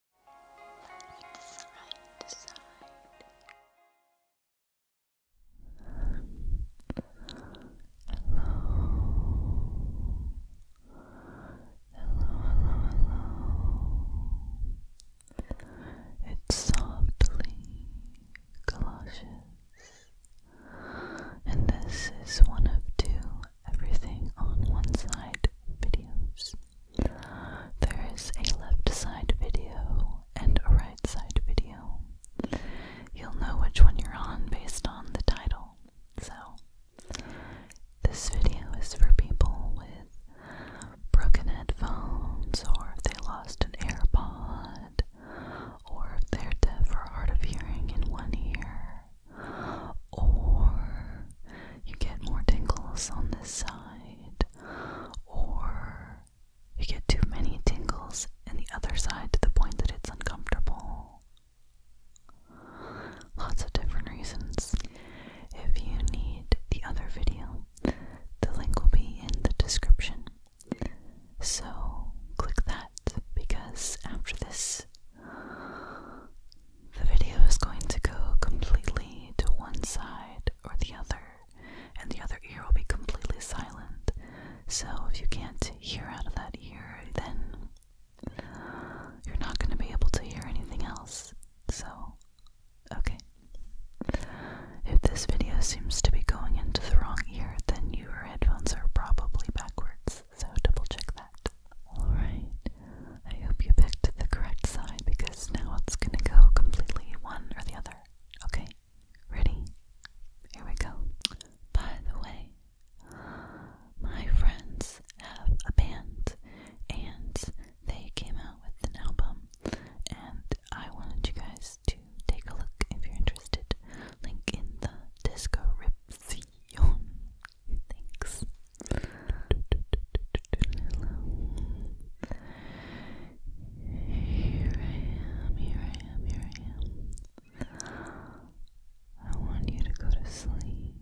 Hello. Hello, hello, It's softly galoshes. And this is one of two everything on one side videos. There is a left side video and a right side video. You'll know which one you're on based on the title. So, this video is for people with broken headphones, or if they lost an AirPod, or if they're deaf or hard of hearing in one ear, or you get more tingles on this side, or you get too many tingles in the other side to the point that it's uncomfortable. Lots of different reasons. If you need the other video, the link will be in the description. So click that because after this the video is going to go completely to one side or the other, and the other ear will be completely silent. So if you can't hear out of that ear, then you're not going to be able to hear anything else. So, okay. If this video seems to be going into the wrong ear, then your headphones are probably backwards, so double check that. Alright, I hope you picked the correct side because now it's gonna go completely one or the other. Okay, ready? Here we go. By the way, my friends have a band and they came out with an album, and I wanted you guys to take a look if you're interested. Link in the description. Thanks. Here I am, here I am, here I am. I want you to go to sleep.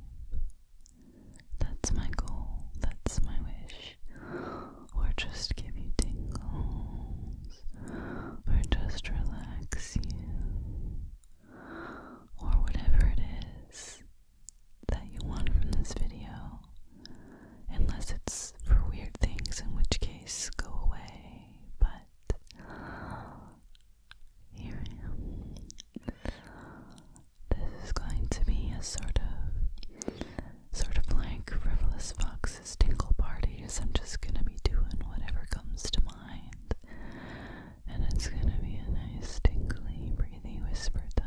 That's my goal, that's my wish. Or just give you tingles, or just relax you, or whatever it is that you want from this video, unless it's for weird things, in which case go away. But here I am. This is going to be a sort of, sort of like frivolous fox's tinkle party. I'm just gonna be doing whatever comes to mind and it's going to be a nice, tinkly, breathy whisper time.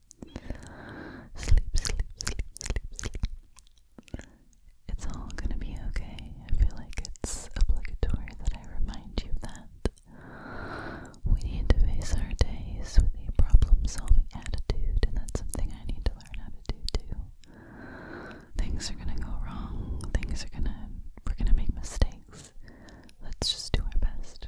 Sleep, sleep, sleep, sleep, sleep. It's all gonna be okay. I feel like it's obligatory that I remind you that we need to face our days with a problem solving attitude, and that's something I need to learn how to do too. Things are gonna go wrong, things are gonna, we're gonna make mistakes. Let's just do our best.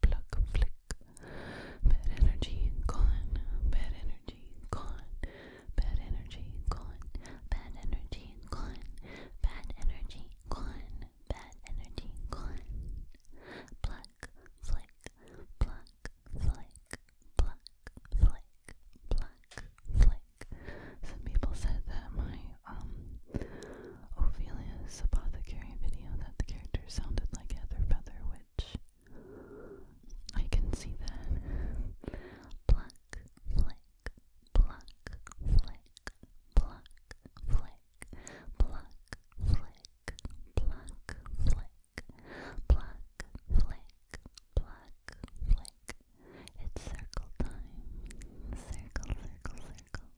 pluck, flick. Bad energy gone, bad energy gone, bad energy gone, bad energy gone, bad energy gone, bad energy gone. Pluck, flick, pluck, flick, pluck, flick, pluck, flick. Some people said that my um Ophelia's apothecary video that the character sounded like Heather Feather, which I can see that. Black flick, black flick, black flick, black flick, black flick, black flick, black flick. It's circle time. Circle, circle, circle.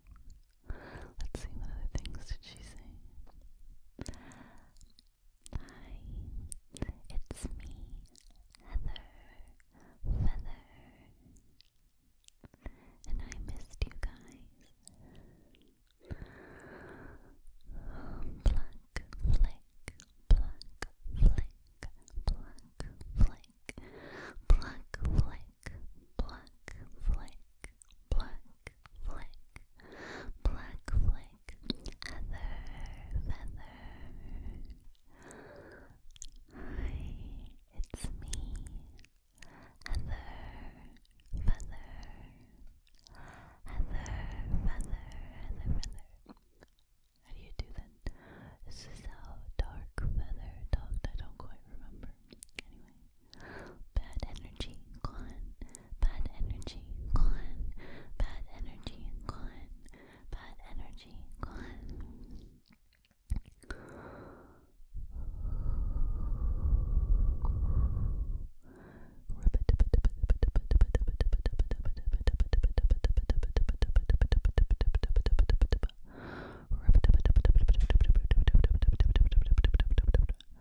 Let's see what other things did she say. Hi, it's me, Heather Feather, and I missed you guys. Pluck, flick, pluck, flick, pluck, flick, pluck, flick, pluck, flick, black flick, black flick, feather, feather. Hi, it's me, Heather, feather, Heather, feather, Heather, feather. How do you do that? This is how dark feather talked. I don't quite remember. Anyway, Bad energy gone. Bad energy gone. Bad energy gone. Bad energy gone.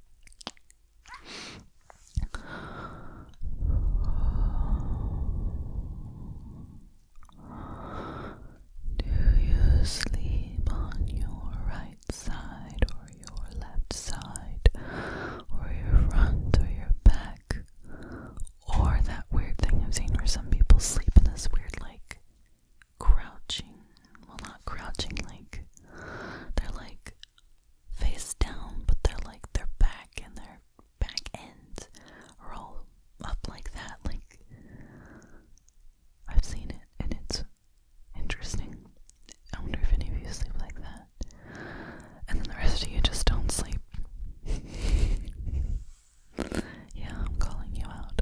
Do you sleep on your right side or your left side or your front or your back? Or that weird thing I've seen where some people sleep in this weird, like, crouching. Well, not crouching, like they're like face down, but they're like their back and their back ends are all up like that. Like, I've seen it and it's interesting. I wonder if any of you sleep like that. And then the rest of you just don't sleep. yeah, I'm calling you out.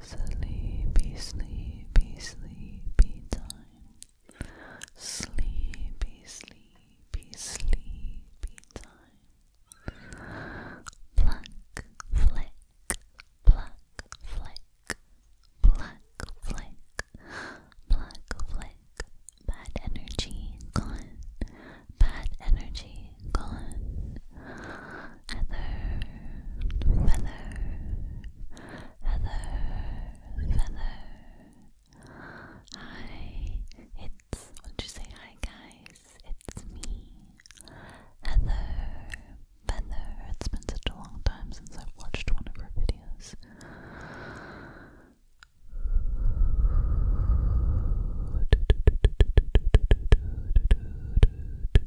Sleepy, sleepy, sleepy time. Sleepy, sleepy, sleepy time. Black flick, black flick, black flick, black flick. Bad energy gone. Bad energy gone feather, feather, feather, feather. Hi, it's would you say? Hi guys, it's me, Heather. Feather. It's been such a long time since I've watched one of her videos.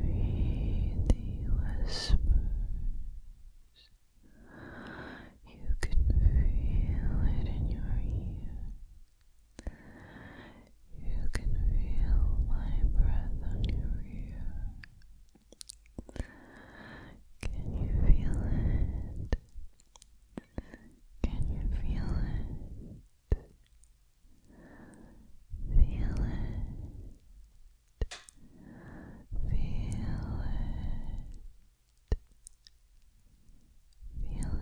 Breathe the whispers. You can feel it in your ear. You can feel my breath on your ear. Can you feel it? Can you feel it? Feel it. Feel it. Feel it.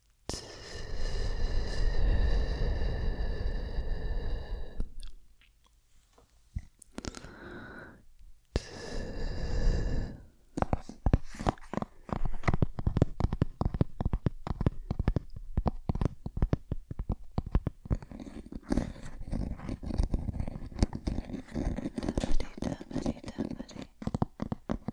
Medita, medita, medita.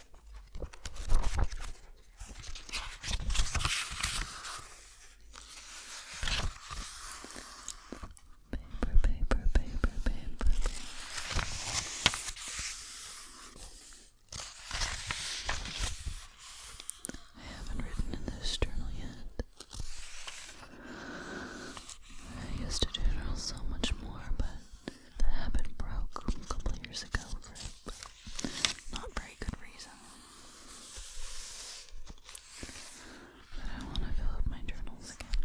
Paper, paper, paper, paper. I haven't written in this journal yet. I used to journal so much more, but that happened broke a couple years ago for not very good reason. But I want to fill up my journals again.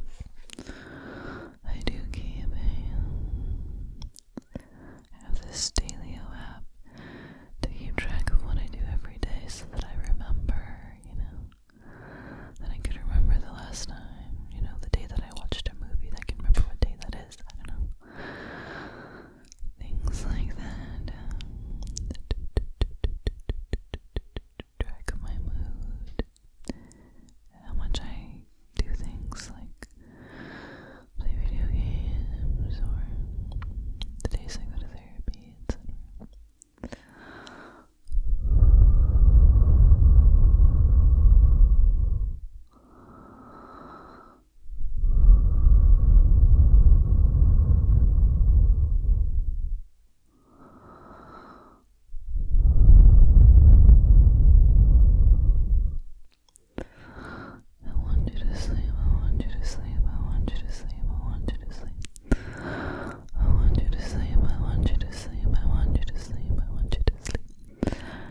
I do keep a. I have this Stelio app to keep track of what I do every day so that I remember, you know, that I could remember the last time, you know, the day that I watched a movie, I can remember what day that is. I don't know. Things like that. Um, track of my mood. How much I do things like play video games or the days I go to therapy, I want you to sleep, I want you to sleep, I want you to sleep, I want you to sleep. I want you to sleep, I want you to sleep, I want you to sleep, I want you to sleep.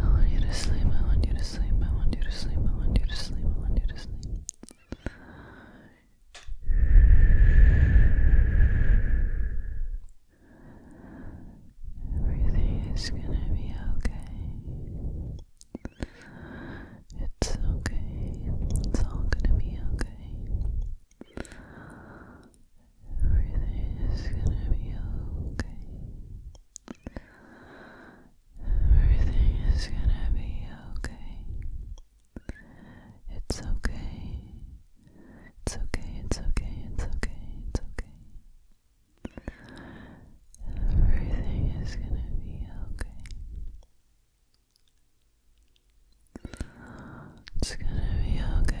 I want you to sleep, I want you to sleep, I want you to sleep, I want you to sleep, I want you to sleep. Everything is gonna be okay. It's okay, it's all gonna be okay. Everything is gonna be okay. Everything is gonna be okay. It's okay. It's okay, it's okay, it's okay, it's okay. Everything is gonna be okay. It's gonna be okay.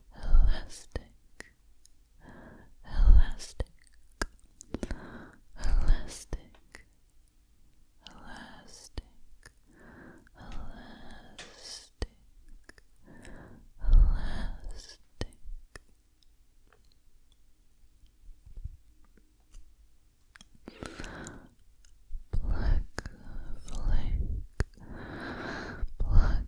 elastic, elastic, elastic, elastic, elastic, elastic. Black flake, black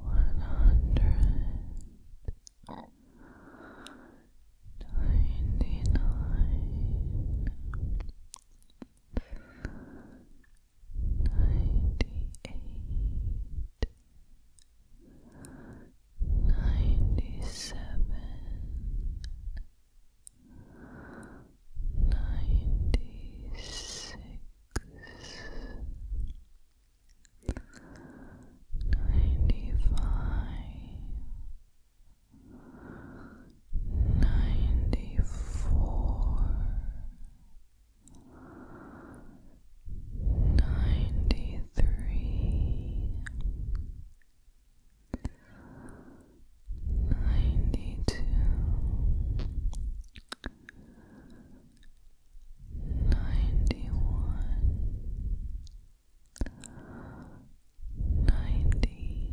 one hundred ninety nine ninety eight Ninety seven, ninety six, ninety five, ninety four, ninety three. 93 ninety two ninety one ninety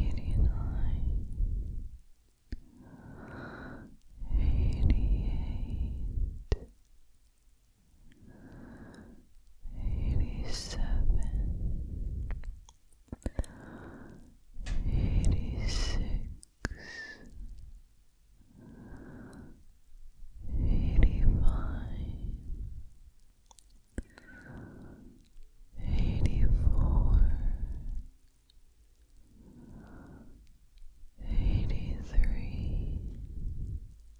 eighty nine Eighty eight, Eighty-seven, eighty-six, eighty-five, eighty-four, eighty-three. 83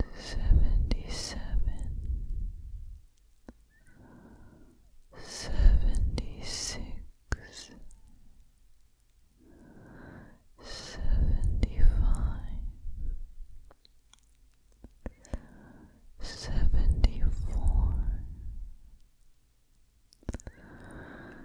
to seventy-seven, seventy-six, seventy-five, seventy-four. 74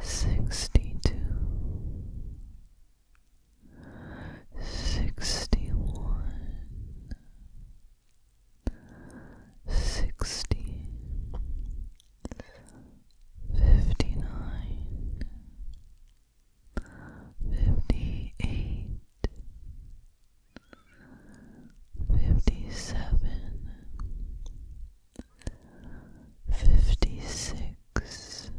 sixty-two, sixty-one, sixty, fifty-nine, fifty-eight. Fifty seven, fifty six,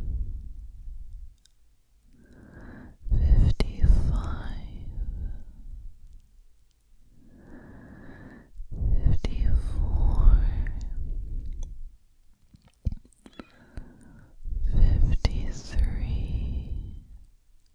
fifty five, fifty four, fifty three.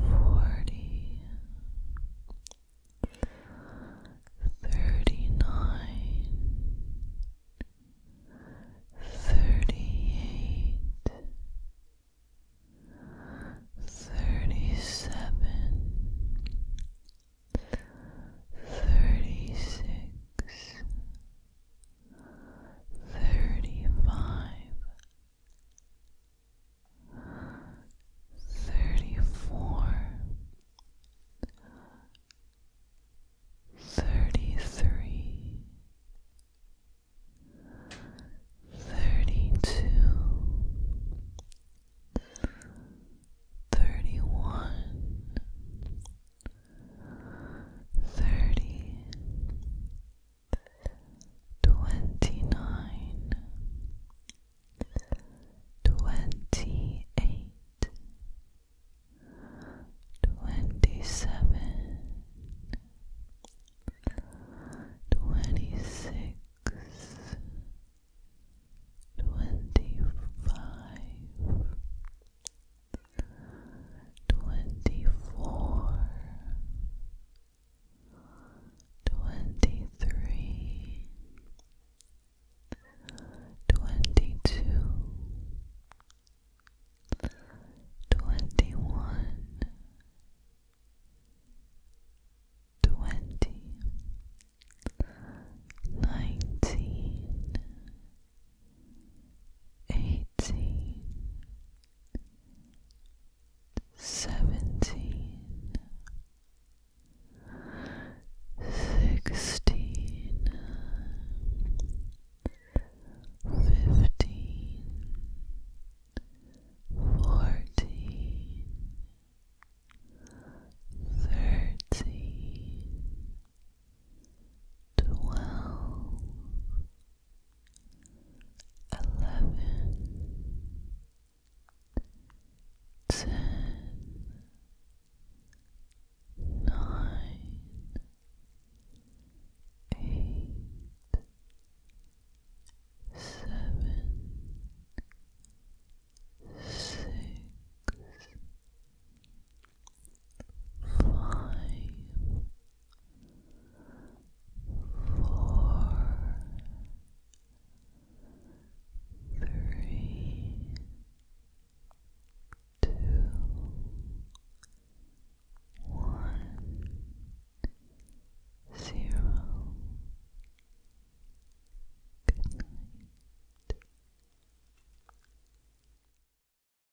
forty, thirty-nine, thirty-eight, thirty-seven, thirty-six thirty-five, thirty-four, thirty-three, thirty-two, thirty-one thirty, twenty-nine, twenty-eight, twenty-seven, twenty-six, twenty-five twenty four, twenty three, twenty two, twenty one, twenty, nineteen eighteen, seventeen, sixteen, fifteen, fourteen, thirteen twelve, eleven, ten, nine, eight, seven, six five, four, three, two, one, zero. Good night.